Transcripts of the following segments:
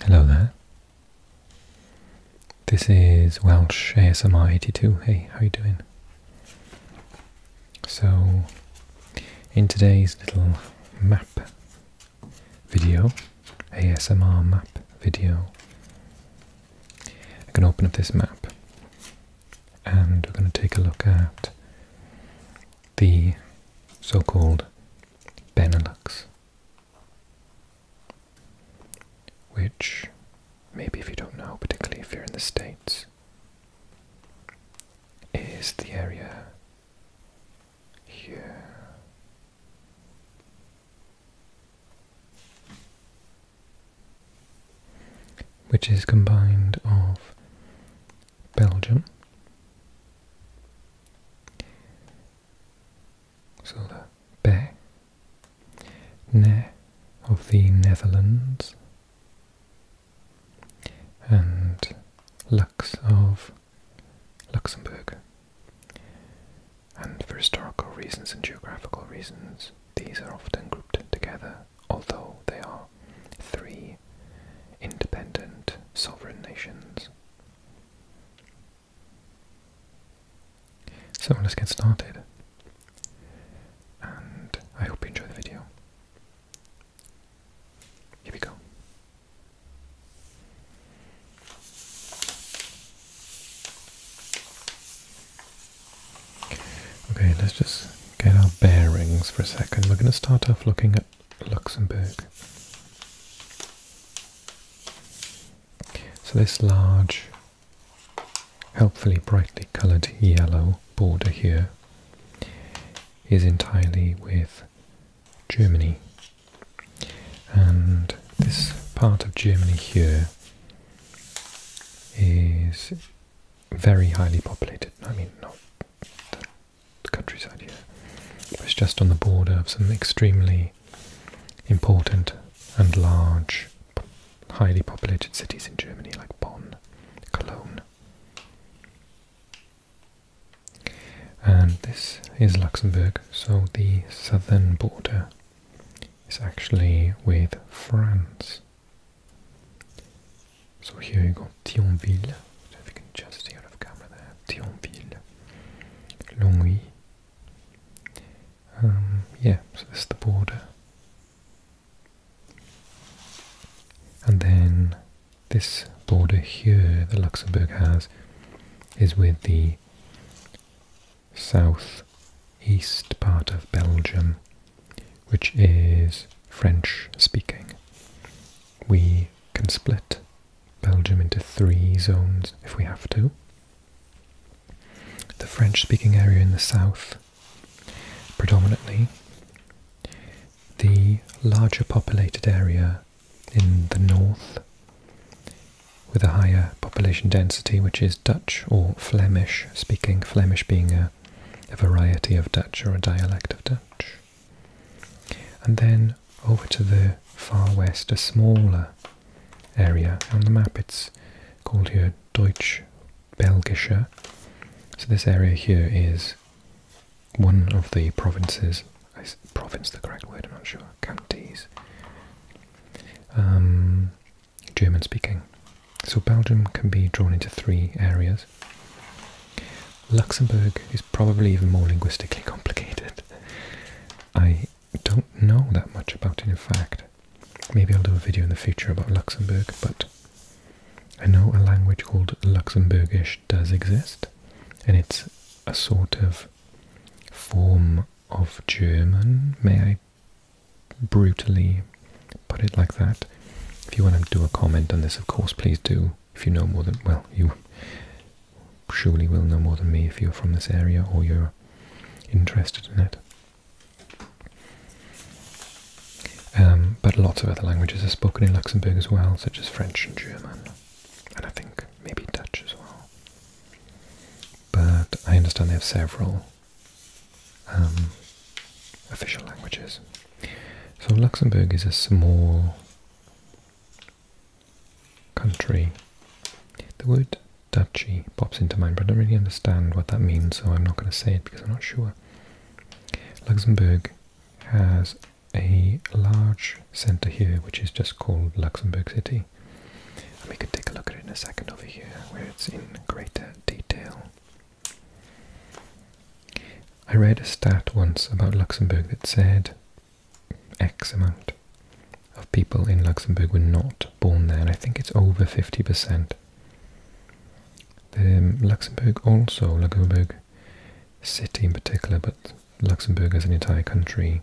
Hello there. This is Welsh ASMR 82. Hey, how you doing? So, in today's little map video, ASMR map video, I am going to open up this map and we're going to take a look at the so-called called Benelux. Which, maybe if you don't know, particularly if you're in the States, is the area here. Which is combined of Belgium. So the be, of the Netherlands, and Lux of Luxembourg. And for historical reasons and geographical reasons, these are often grouped together, although they are three independent sovereign nations. So let's get started, and I hope you enjoy the video. Here we go. Okay, let's just get our bearings for a second. We're going to start off looking at Luxembourg. So this large, helpfully brightly coloured yellow border here is entirely with Germany. And this part of Germany here is very highly populated. I mean, not countryside here. But it's just on the border of some extremely important and large, highly populated cities in Germany like Bonn, Cologne. And this is Luxembourg, so the southern border is actually with France. So here you go, Thionville. if you can just see out of camera Thionville, Longwy. Um, yeah, so this the border. And then this border here that Luxembourg has is with the southeast part of Belgium, which is French speaking. We can split Belgium into three zones if we have to. The French-speaking area in the south, predominantly. The larger populated area in the north, with a higher population density, which is Dutch or Flemish speaking, Flemish being a, variety of Dutch or a dialect of Dutch. And then over to the far west, a smaller area on the map. It's called here Deutsch Belgische. So this area here is one of the provinces. province the correct word? I'm not sure. Counties. Um, German speaking. So Belgium can be drawn into three areas. Luxembourg is probably even more linguistically complicated. I don't know that much about it, in fact. Maybe I'll do a video in the future about Luxembourg, but I know a language called Luxembourgish does exist, and it's a sort of form of German, may I brutally put it like that. If you want to do a comment on this, of course, please do if you know more than well you surely will know more than me if you're from this area or you're interested in it. Um, but lots of other languages are spoken in Luxembourg as well, such as French and German, and I think maybe Dutch as well. But I understand they have several um, official languages. So Luxembourg is a small country. The word duchy pops into mind, but I don't really understand what that means, so I'm not going to say it because I'm not sure. Luxembourg has a large centre here, which is just called Luxembourg City. we can take a look at it in a second over here, where it's in greater detail. I read a stat once about Luxembourg that said X amount of people in Luxembourg were not born there, and I think it's over 50%. The, um, Luxembourg also, Luxembourg city in particular, but Luxembourg as an entire country,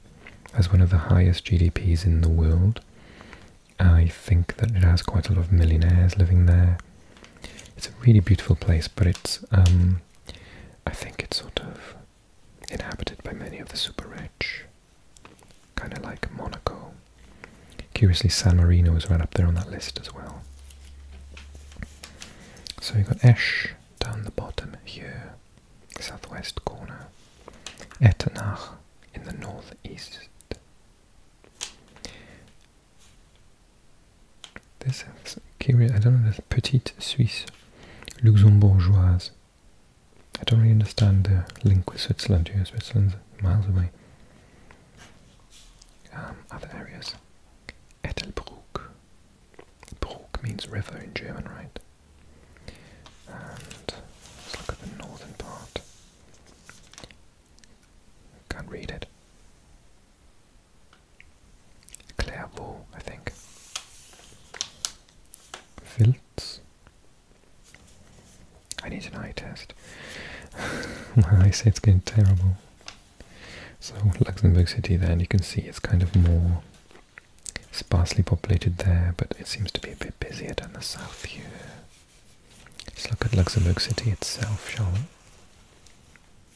has one of the highest GDPs in the world. I think that it has quite a lot of millionaires living there. It's a really beautiful place, but it's um, I think it's sort of inhabited by many of the super rich, kind of like Monaco. Curiously, San Marino is right up there on that list as well. So you've got Esch down the bottom here, southwest corner, Etenach in the northeast, this sounds curious. I don't know. This petite Suisse, luxembourgeoise. I don't really understand the link with Switzerland here. Switzerland's miles away. Um, other areas. Etelbruck. Bruck means river in German, right? And let's look at the northern part. Can't read it. Clairvaux, I think. Vilts. I need an eye test. My eyesight's getting terrible. So Luxembourg City then, you can see it's kind of more sparsely populated there, but it seems to be a bit busier down the south view. Let's look at Luxembourg City itself, shall we?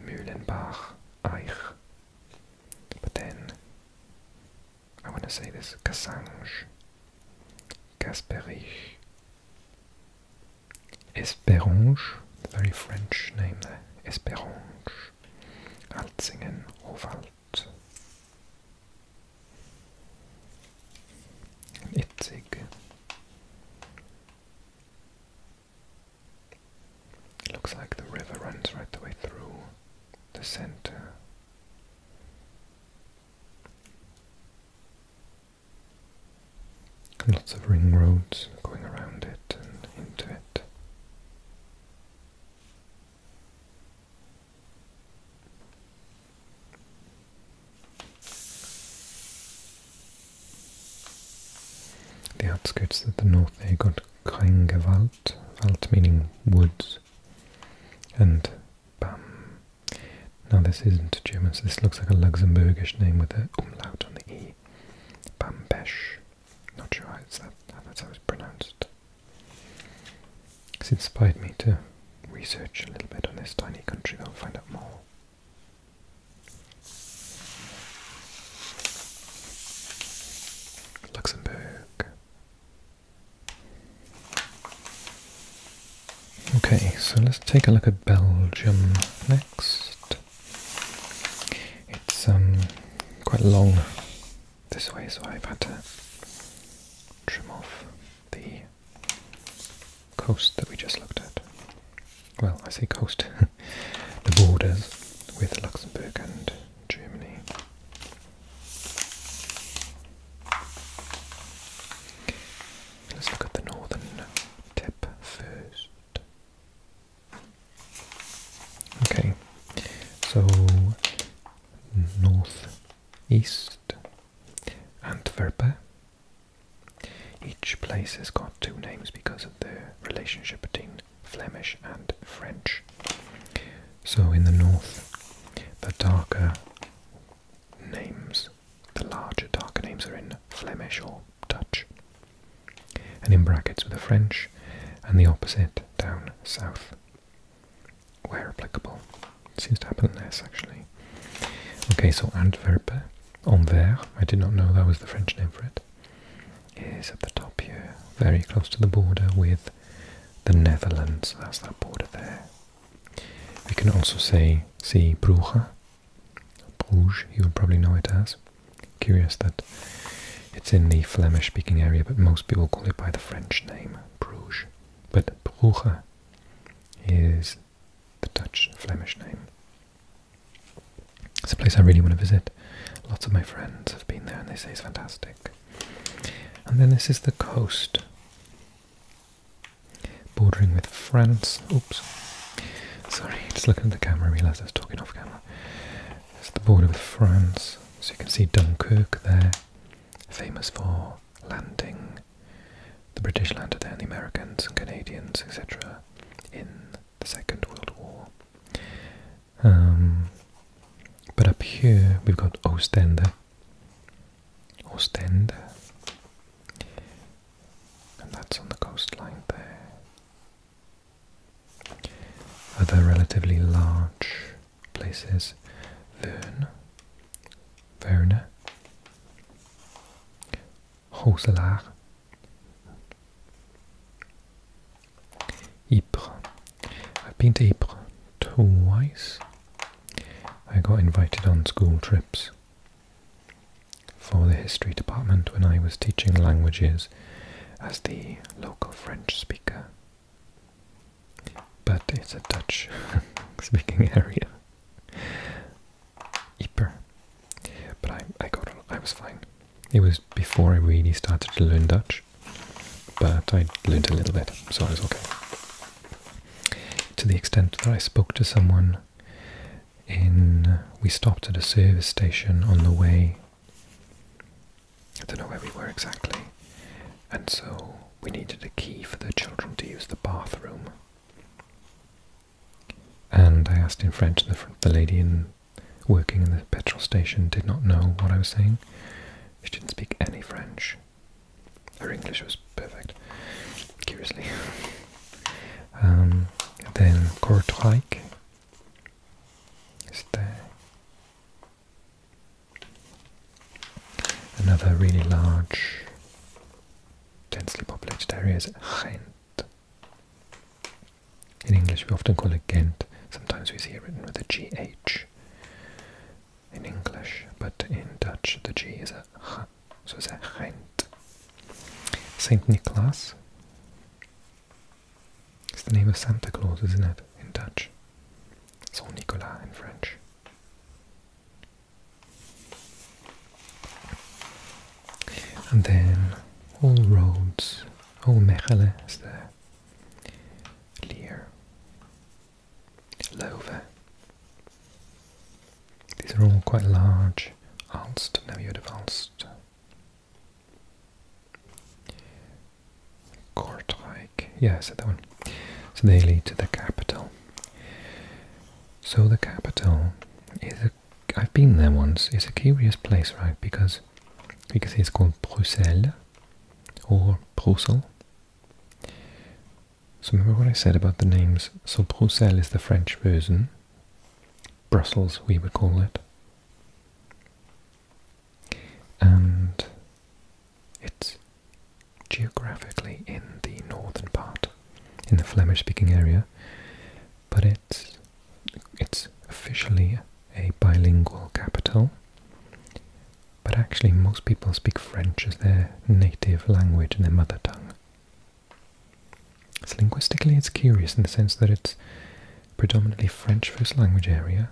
Mühlenbach, Eich. But then I want to say this Cassange, Gasperich, Esperange, very French name there, Esperange, Alzingen, Hofalt, Itzig. looks like the river runs right the way through the center. lots of ring roads going around it and into it. The outskirts of the north they got Kringewald, Wald meaning woods, and Bam. Now this isn't German, so this looks like a Luxembourgish name with an umlaut on the E. Bambesch. Not sure how, it's how it's pronounced. It's inspired me to research a little bit on this tiny country, I'll find out more. Luxembourg. Okay, so let's take a look at Belgium next. It's um, quite long this way, so I've had to trim off the coast that we just looked at well, I say coast, the borders with Luxembourg and Germany. Let's look at the northern tip first. Okay, so north, east, Antwerp, each place has got two names because of the relationship between Flemish and French. So in the north, the darker names, the larger darker names are in Flemish or Dutch, and in brackets with the French, and the opposite down south, where applicable. It seems to happen less actually. Okay, so Antwerp, Anvers, I did not know that was the French name for it is at the top here, very close to the border with the Netherlands. That's that border there. We can also say see Brugge, Bruges. You'll probably know it as. Curious that it's in the Flemish-speaking area, but most people call it by the French name Bruges. But Brugge is the Dutch Flemish name. It's a place I really want to visit. Lots of my friends have been there and they say it's fantastic. And then this is the coast, bordering with France. Oops, sorry, just looking at the camera, I realised I was talking off camera. It's the border with France, so you can see Dunkirk there, famous for landing the British landed there, and the Americans and Canadians, etc., in the Second World War. Um, but up here we've got Ostende. Ostende. And that's on the coastline there. Other relatively large places Verne, Verne, Roeselaar, I've been to Ypres twice. I got invited on school trips for the history department when I was teaching languages as the local French speaker. But it's a Dutch speaking area. Ypres. But I, I got I was fine. It was before I really started to learn Dutch, but I learned a little bit, so I was okay. To the extent that I spoke to someone in, we stopped at a service station on the way, I don't know where we were exactly, and so we needed a key for the children to use the bathroom. And I asked in French, the, lady in, working in the petrol station did not know what I was saying. She didn't speak any French. Her English was perfect, curiously. Um, then Courtrai is there. Another really large, densely populated area is Ghent. In English, we often call it Ghent. Sometimes we see it written with a GH in English, but in Dutch, the G is a a H, so it's a Ghent. St. Nicholas. It's the name of Santa Claus, isn't it, in Dutch? Saint Nicolas in French. And then all roads, all Mechele is there. Lova. These are all quite large. Alst, never heard of Alst. Kortrijk, yeah, I said that one. So they lead to the capital. So the capital is a i I've been there once. It's a curious place, right? Because because it's called Bruxelles or Brussels. So remember what I said about the names. So Bruxelles is the French version. Brussels, we would call it. And it's geographically in the northern part, in the Flemish-speaking area, but it it's it's officially a bilingual capital, but actually most people speak French as their native language and their mother tongue. So linguistically, it's curious in the sense that it's predominantly French first language area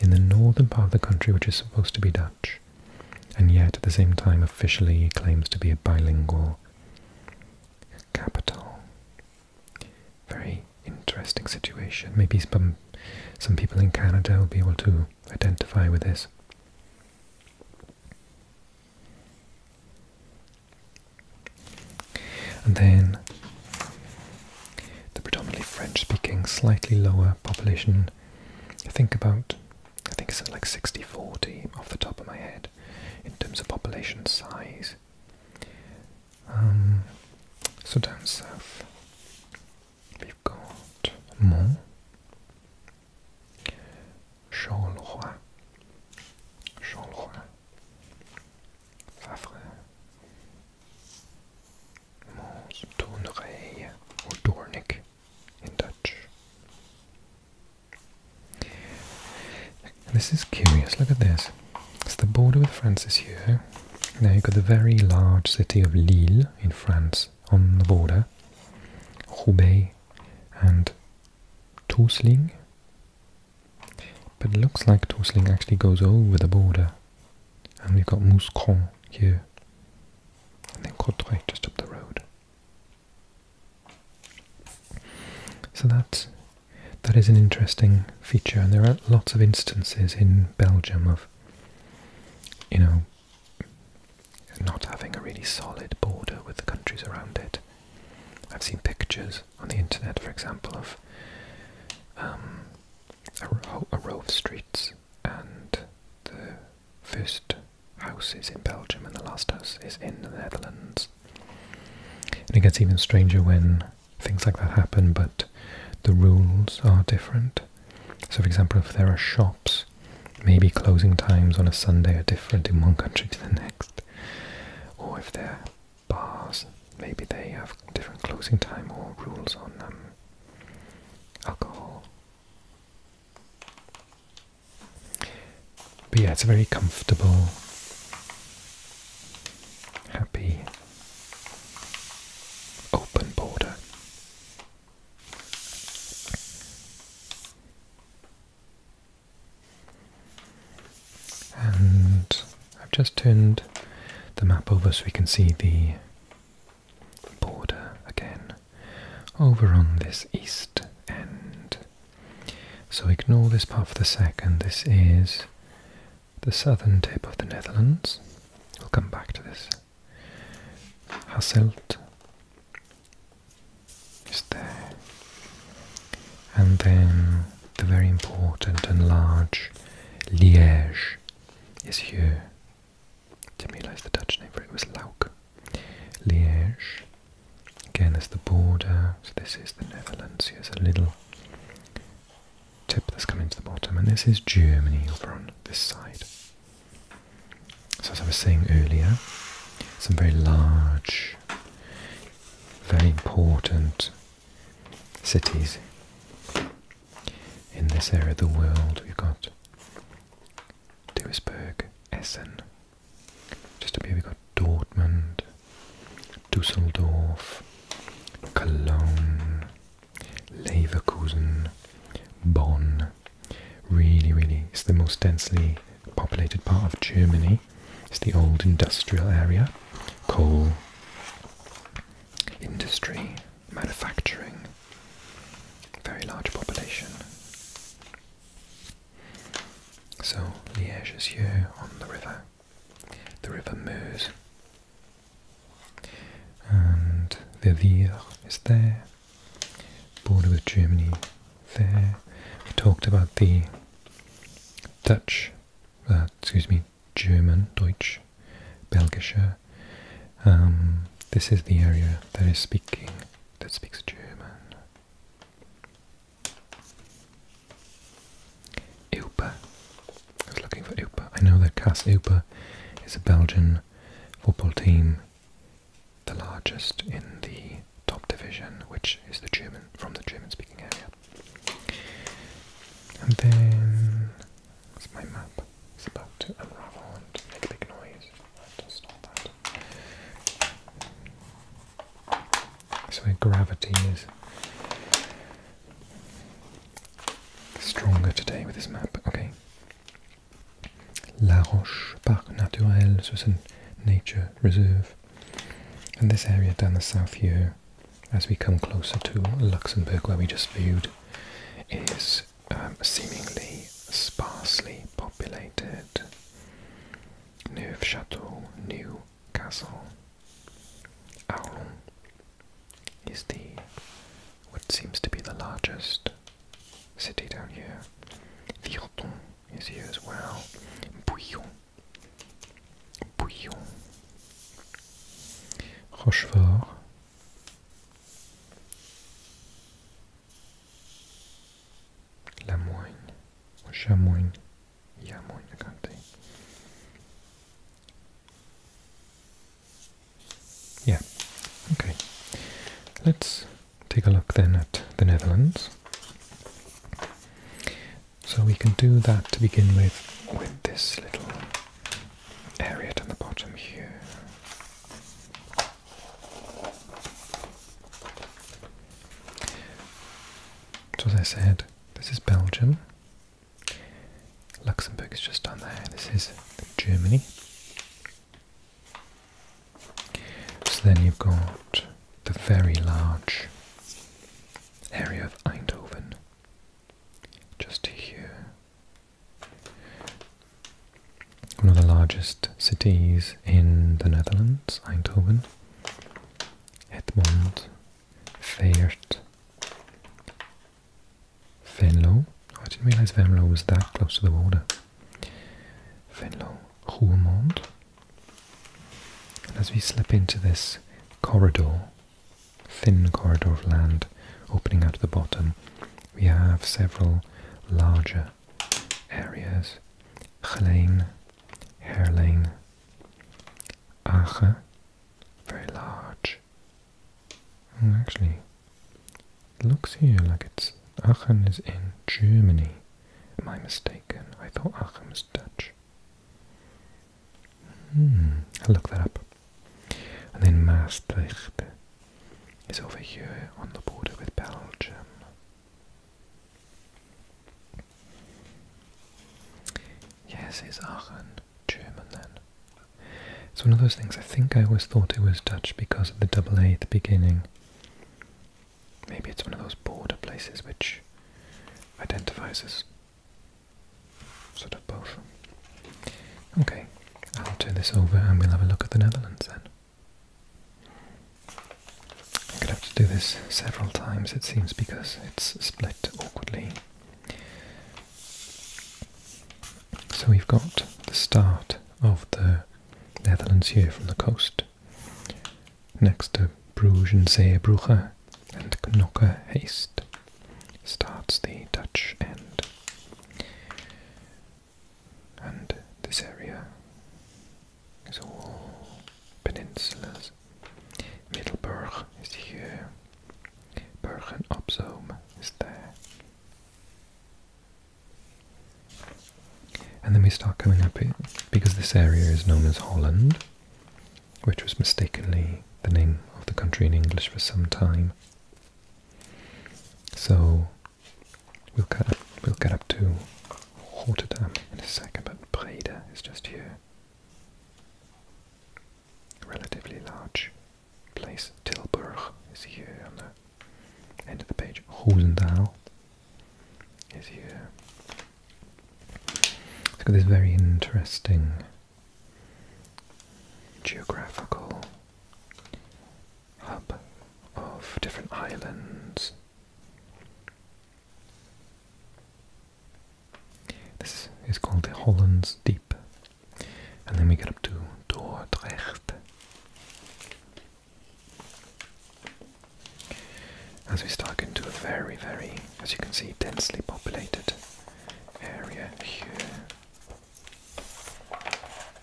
in the northern part of the country, which is supposed to be Dutch, and yet at the same time officially claims to be a bilingual capital. Very interesting situation. Maybe some, some people in Canada will be able to identify with this. And then the predominantly French-speaking, slightly lower population. I think about, I think it's like 60-40 off the top of my head in terms of population size. Um, so down south, we've got Mont, Charleroi, Charleroi, Favre, Mons, Tournai, or Dornick in Dutch. This is curious, look at this. It's the border with France is here. Now you've got the very large city of Lille in France on the border, Roubaix and Tousling. But it looks like Tousling actually goes over the border. And we've got Mouscron here. And then Courtrai just up the road. So that that is an interesting feature, and there are lots of instances in Belgium of you know not having a really solid border with the countries around it. I've seen pictures on the internet, for example, of um, a row of streets and the first house is in Belgium and the last house is in the Netherlands and it gets even stranger when things like that happen, but the rules are different. So, for example, if there are shops, maybe closing times on a Sunday are different in one country to the next. Or if there are bars, maybe they have different closing time or rules on um, alcohol. But yeah, it's a very comfortable, happy, open border. And I've just turned the map over so we can see the border again over on this east end. So ignore this part for the second. This is the southern tip of the Netherlands. We'll come back to this. Hasselt is there. And then the very important and large Liège is here. Didn't realise the Dutch name for it was Lauk. Liège, again there's the border, this is the Netherlands, here's a little tip that's coming to the bottom, and this is Germany over on this side. So as I was saying earlier, some very large, very important cities in this area of the world. We've got Duisburg, Essen, just up here we got Dortmund, Dusseldorf, Cologne, Leverkusen, Bonn. Really, really, it's the most densely populated part of Germany. It's the old industrial area, coal, industry, manufacturing, very large population. So Liège is here on the river, the river Meuse, and the Vier is there, border with Germany there. We talked about the Dutch, uh, excuse me, German, Deutsch, Belgische. Um, this is the area that is speaking, that speaks German. Upa. I was looking for Upa. I know that Cas Upa is a Belgian football team, the largest in the top division, which is the German from the German-speaking area. And then, what's my map? is about to unravel and make a big noise. I have to stop that. That's where gravity is stronger today with this map. Okay. La Roche Parc Naturel, so a nature reserve. And this area down the south here, as we come closer to Luxembourg where we just viewed, is um, seemingly sparsely populated. Neufchâteau, Newcastle, Arlon is the what seems to be the largest city down here. Virton is here as well. Bouillon, Bouillon, Rochefort. Lamoigne or Chamoigne, I think. Yeah, okay. Let's take a look then at the Netherlands. So we can do that to begin with, with this little area at the bottom here. So, as I said, this is Belgium. Luxembourg is just down there. This is Germany. So then you've got the very large area of Eindhoven, just here one of the largest cities in the Netherlands, Eindhoven. Edmond Veert Venlo. Oh, I didn't realize Venlo was that close to the border. Venlo Roermond. And as we slip into this corridor, thin corridor of land opening out at the bottom, we have several larger areas Gelein, Herlein, Ache, very large. Hmm, actually, looks here like it's Aachen is in Germany. Am I mistaken? I thought Aachen was Dutch. Hmm, I'll look that up. And then Maastricht is over here on the border with Belgium. Yes, it's Aachen German then? It's one of those things, I think I always thought it was Dutch because of the double A at the beginning. Maybe it's one of those border places which identifies as sort of both. Okay, I'll turn this over and we'll have a look at the Netherlands then. I'm gonna have to do this several times it seems because it's split awkwardly. So we've got the start of the Netherlands here from the coast, next to Bruges and Zeebrugge and Knokke Haste starts the Dutch end and this area is all peninsulas. Middleburg is here, Bergen op Zoom is there. And then we start coming up here, because this area is known as Holland, which was mistakenly the name of the country in English for some time. So We'll get up, we'll get up to Rotterdam in a second, but Breda is just here. Relatively large place. Tilburg is here on the end of the page. Roosendaal is here. It's got this very interesting geographical hub of different islands this is called the Hollands Deep. And then we get up to Dordrecht. As we start into a very, very, as you can see, densely populated area here. I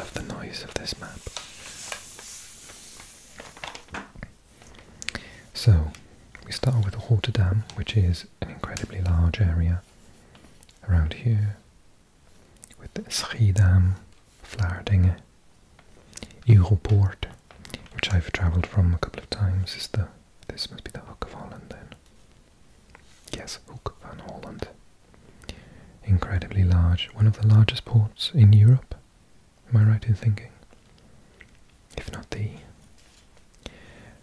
love the noise of this map. So, we start with the Dam, which is an incredibly large area around here, with Schiedam, Flardinge, Europort, which I've travelled from a couple of times. Is the this must be the Hook of Holland then? Yes, Hook of Holland. Incredibly large, one of the largest ports in Europe. Am I right in thinking? If not the.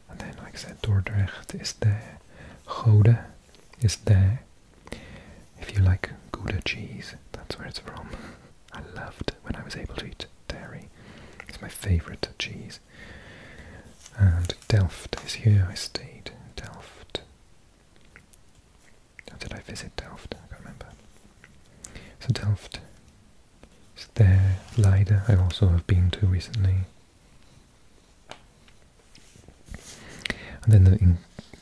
And then, like I said, Dordrecht is the, Gode is there. If you like Gouda cheese, that's where it's from. I loved when I was able to eat dairy. It's my favourite cheese. And Delft is here. I stayed in Delft. How did I visit Delft? I can't remember. So Delft is there. Leiden I also have been to recently. And then the,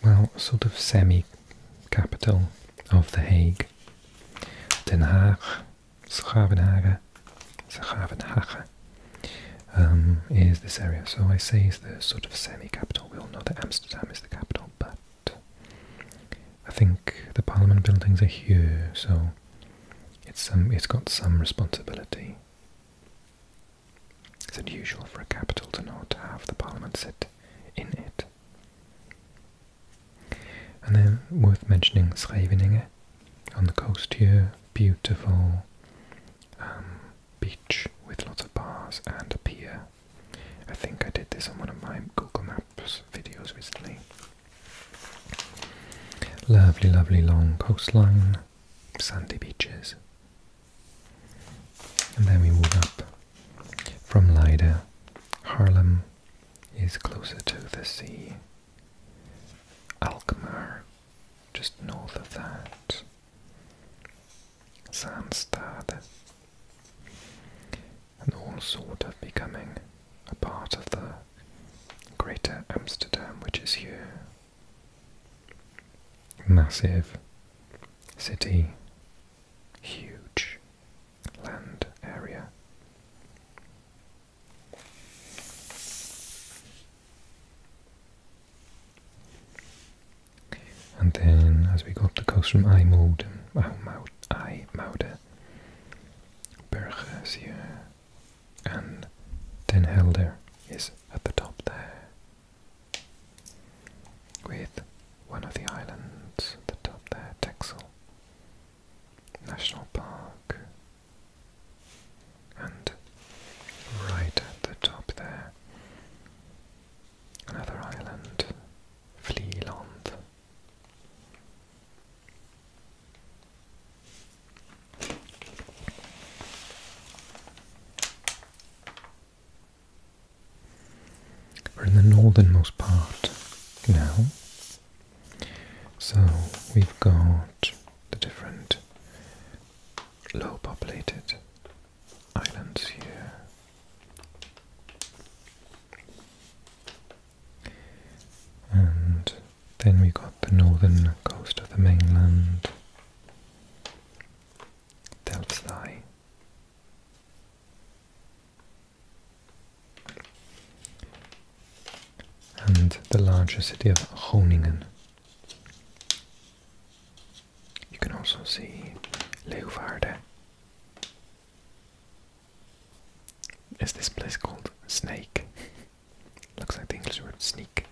well, sort of semi-capital of The Hague, Den Haag, Schavenhagen, Schavenhagen, um, is this area. So I say it's the sort of semi-capital. We all know that Amsterdam is the capital, but I think the Parliament buildings are here, so it's um, it's got some responsibility. It's unusual for a capital to not have the parliament sit in it. And then worth mentioning Scheveningen on the coast here, beautiful um, beach with lots of bars and a pier. I think I did this on one of my Google Maps videos recently. Lovely, lovely long coastline sandy beaches. And then we move up from Leida. Haarlem is closer to the sea. Alkmaar, just north of that. Amsterdam, And all sort of becoming a part of the greater Amsterdam, which is here Massive city, huge land area. And then, as we go up the coast from Ijmuiden, Berge, Sierra, and then Helder is at the top there with one of the islands at the top there, Texel National Park and right at the top there another island, Vlieland we're in the northernmost part now. So we've got the different low populated islands here. And then we got the northern coast of the mainland, Delphi. And the larger city of Groningen. You can also see Leeuwarden. Is this place called Snake? Looks like the English word sneak.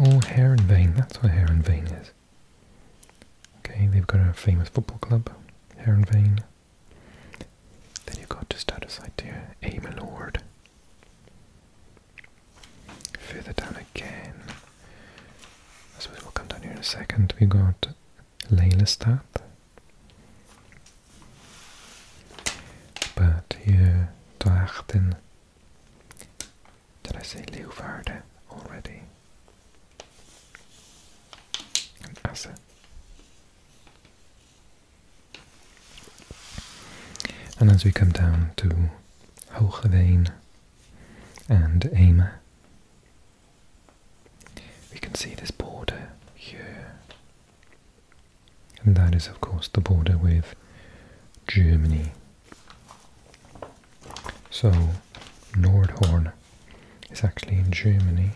Oh, Herrenveen, that's what Herrenveen is. Okay, they've got a famous football club, Herrenveen. Then you've got just out of sight here, A Lord. Further down again, I suppose we'll come down here in a second, we've got Leilestad, but here, Drachten. Did I say Leeuwarden already? And Assen. And as we come down to Hoogeveen and Emer, we can see this border here and that is of course the border with Germany. So Nordhorn is actually in Germany.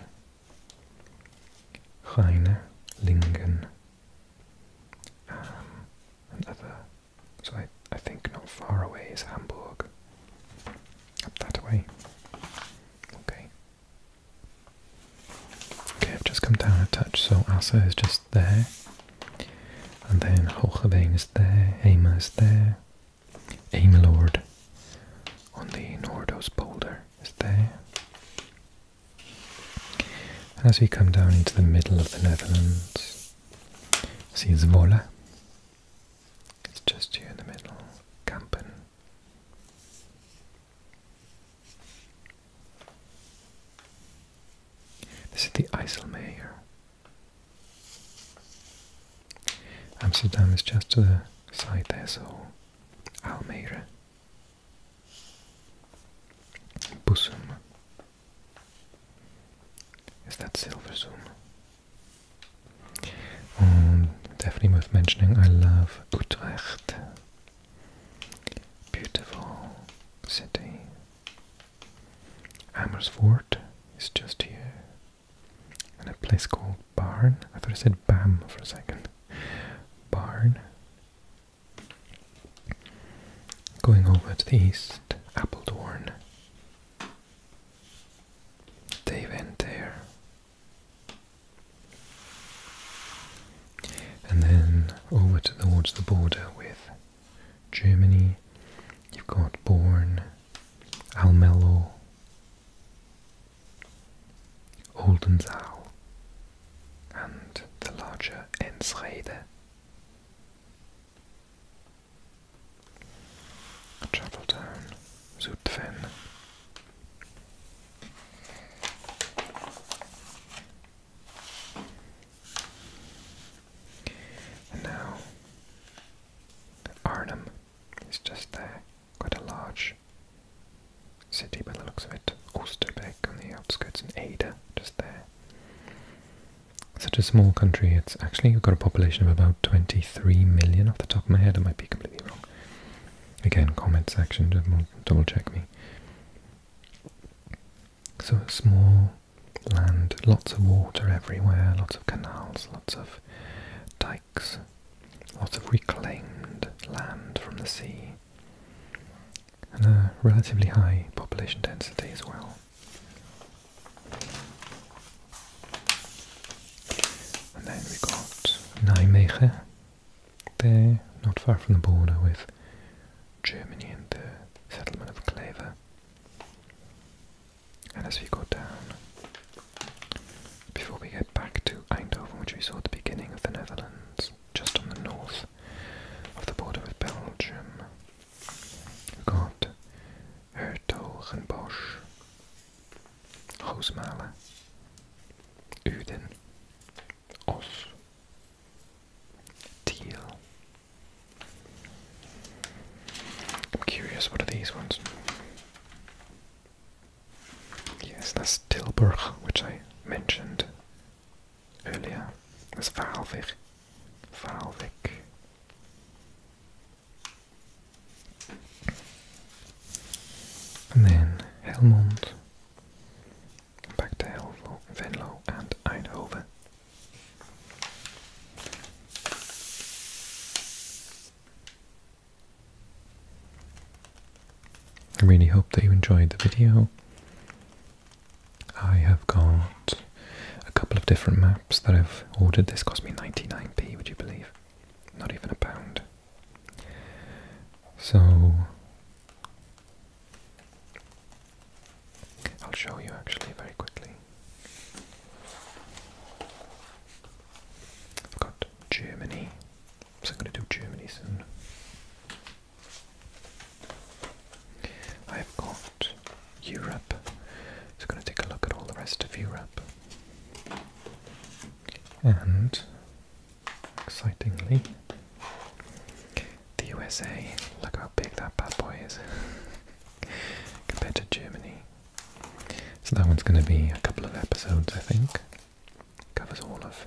Rheine, Lingen, um, So I, I think not far away is Hamburg. Up that way. Okay. Okay, I've just come down a touch, so Asa is just there. And then Holgebein is there, Ema is there, Lord on the Nordos boulder is there. And as we come down into the middle of the Netherlands, see Zwolle. It's just here in the middle, Kampen. This is the IJsselmeer. Amsterdam is just to the side there, so Almere. Busum. Is that Silversum? Um, mm, definitely worth mentioning, I love Utrecht. Beautiful city. Amersfoort is just here. And a place called Barn. I thought I said Bam for a second. Barn. Going over to the east, Appledorn. They went there. And then over towards the border with Germany, you've got Born, Almelo, Oldenzal, and the larger Enschede. Travel down Zutphen and now Arnhem is just there, quite a large city by the looks of it. Oosterbeek on the outskirts and Ada just there. Such a small country, it's actually got a population of about 23 million off the top of my head, I might be completely wrong. Again, comment section, double check me. So small land, lots of water everywhere, lots of canals, lots of dikes, lots of reclaimed land from the sea, and a relatively high population density as well. And then we got Nijmegen, there, not far from the border with Germany and the settlement of Claver. And as we go down, before we get back to Eindhoven, which we saw at the beginning of the Netherlands, just on the north of the border with Belgium, we've got Hertogenbosch, Roosmalen, Uden, Os, Til. I'm curious, what are these ones? Yes, that's Tilburg, which I mentioned earlier. That's Vaalvik. Valvik, And then Helmond, back to Helvlo, Venlo and Eindhoven. I really hope that you enjoyed the video. I have got a couple of different maps that I've ordered. This cost me 99p, would you believe? Not even a pound. So I'll show you actually very quickly. I've got Germany, so I'm going to do Germany soon. I've got Europe, so I'm going to take a look at all the rest of Europe. And Excitingly, the USA. Look how big that bad boy is compared to Germany. So that one's going to be a couple of episodes, I think. Covers all of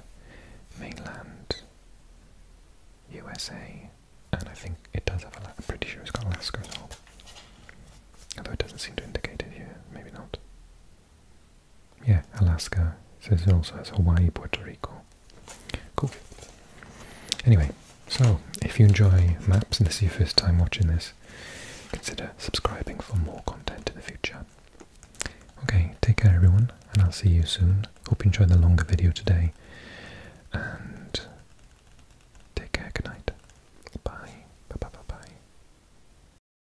mainland USA, and I think it does have. A, I'm pretty sure it's got Alaska as Although it doesn't seem to indicate it here, maybe not yeah, Alaska. So also has Hawaii, Puerto Rico. Cool. Anyway, so if you enjoy maps and this is your first time watching this, consider subscribing for more content in the future. Okay, take care everyone, and I'll see you soon. Hope you enjoyed the longer video today. And take care, good night. Bye bye bye bye.